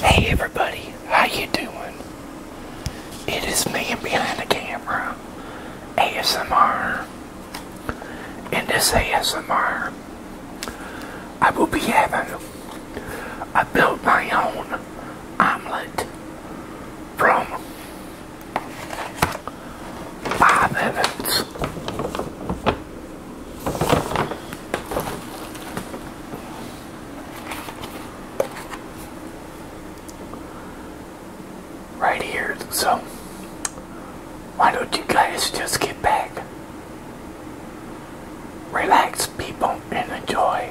Hey everybody, how you doing? It is me behind the camera, ASMR. In this ASMR, I will be having, I built my own omelet from Bob Evans. Right here, so why don't you guys just get back, relax, people, and enjoy.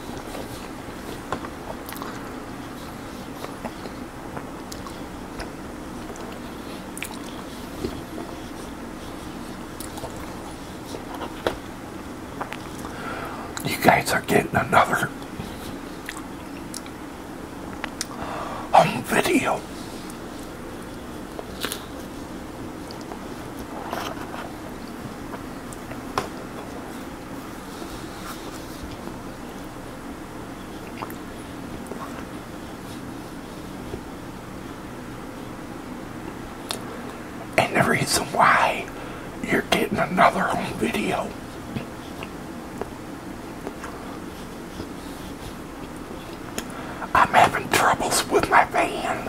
You guys are getting another on video. And the reason why you're getting another home video I'm having troubles with my van.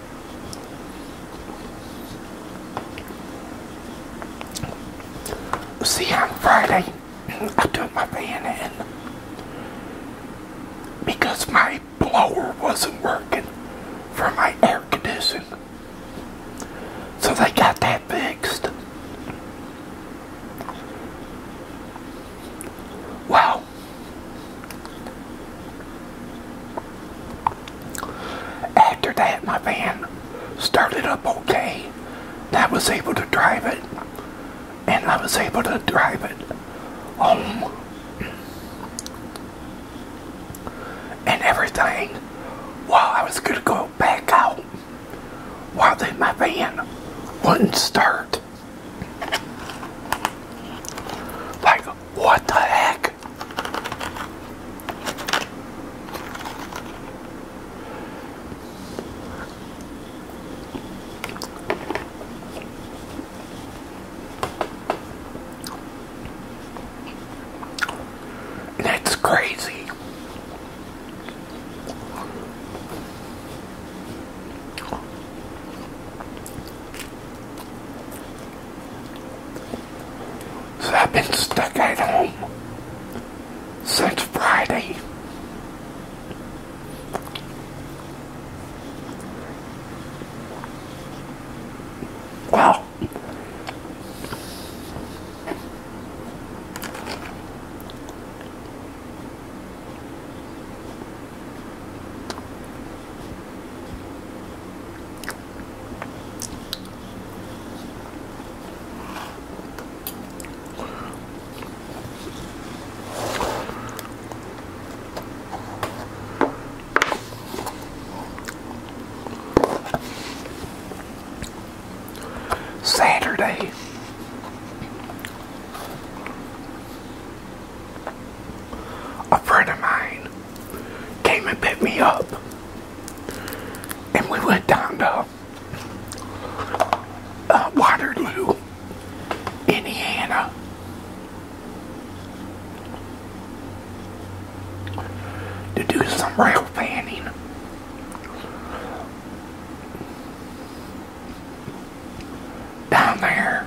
See, on Friday, I took my van in because my blower wasn't working for my air conditioning. So they got that fixed. Well, after that, my van started up okay. I was able to drive it, and I was able to drive it home. And everything while I was going to go back out, while then my van wouldn't start. Like, what the heck? That's crazy. So I've been stuck at home since Friday. Wow. Saturday. A friend of mine came and picked me up. And we went down to uh, Waterloo, Indiana. To do some rail fanning. Down there.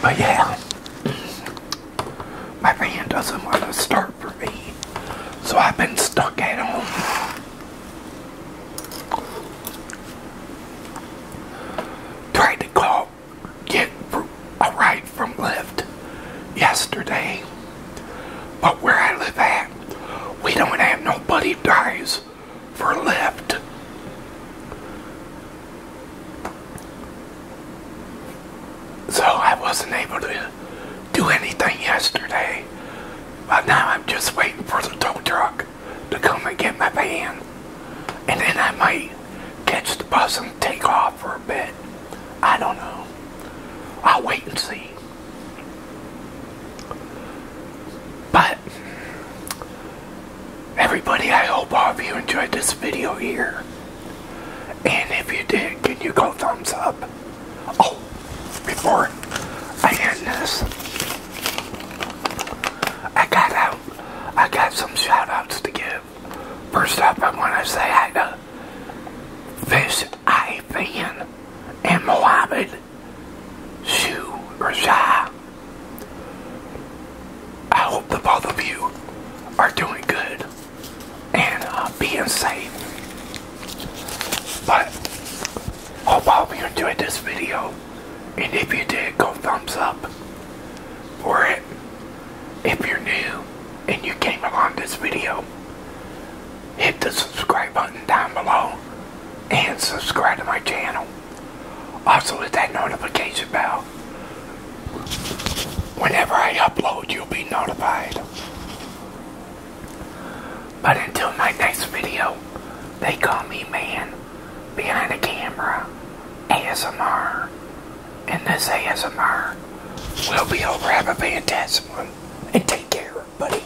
But yeah, my van doesn't want to start for me, so I've been stuck at home. Tried to call, get a ride from Lyft yesterday, but where I live at, we don't have nobody drives for left. So I wasn't able to do anything yesterday. But now I'm just waiting for the tow truck to come and get my van. And then I might catch the bus and take off for a bit. I don't know. I'll wait and see. But Everybody, I hope all of you enjoyed this video here. And if you did, can you go thumbs up? Oh, before I end this, I got out. I got some shout outs to give. First up, I want to say hi to this Eye Fan and Mohammed Shoo or Sha. I hope that both of you are doing good and uh, being safe. But hope all of you enjoyed this video. And if you did, go thumbs up for it. If you're new and you came along this video, hit the subscribe button down below and subscribe to my channel. Also hit that notification bell. Whenever I upload, you'll be notified. But until my next video, they call me man behind the camera ASMR. And this ASMR will be over. Have a fantastic one. And take care, buddy.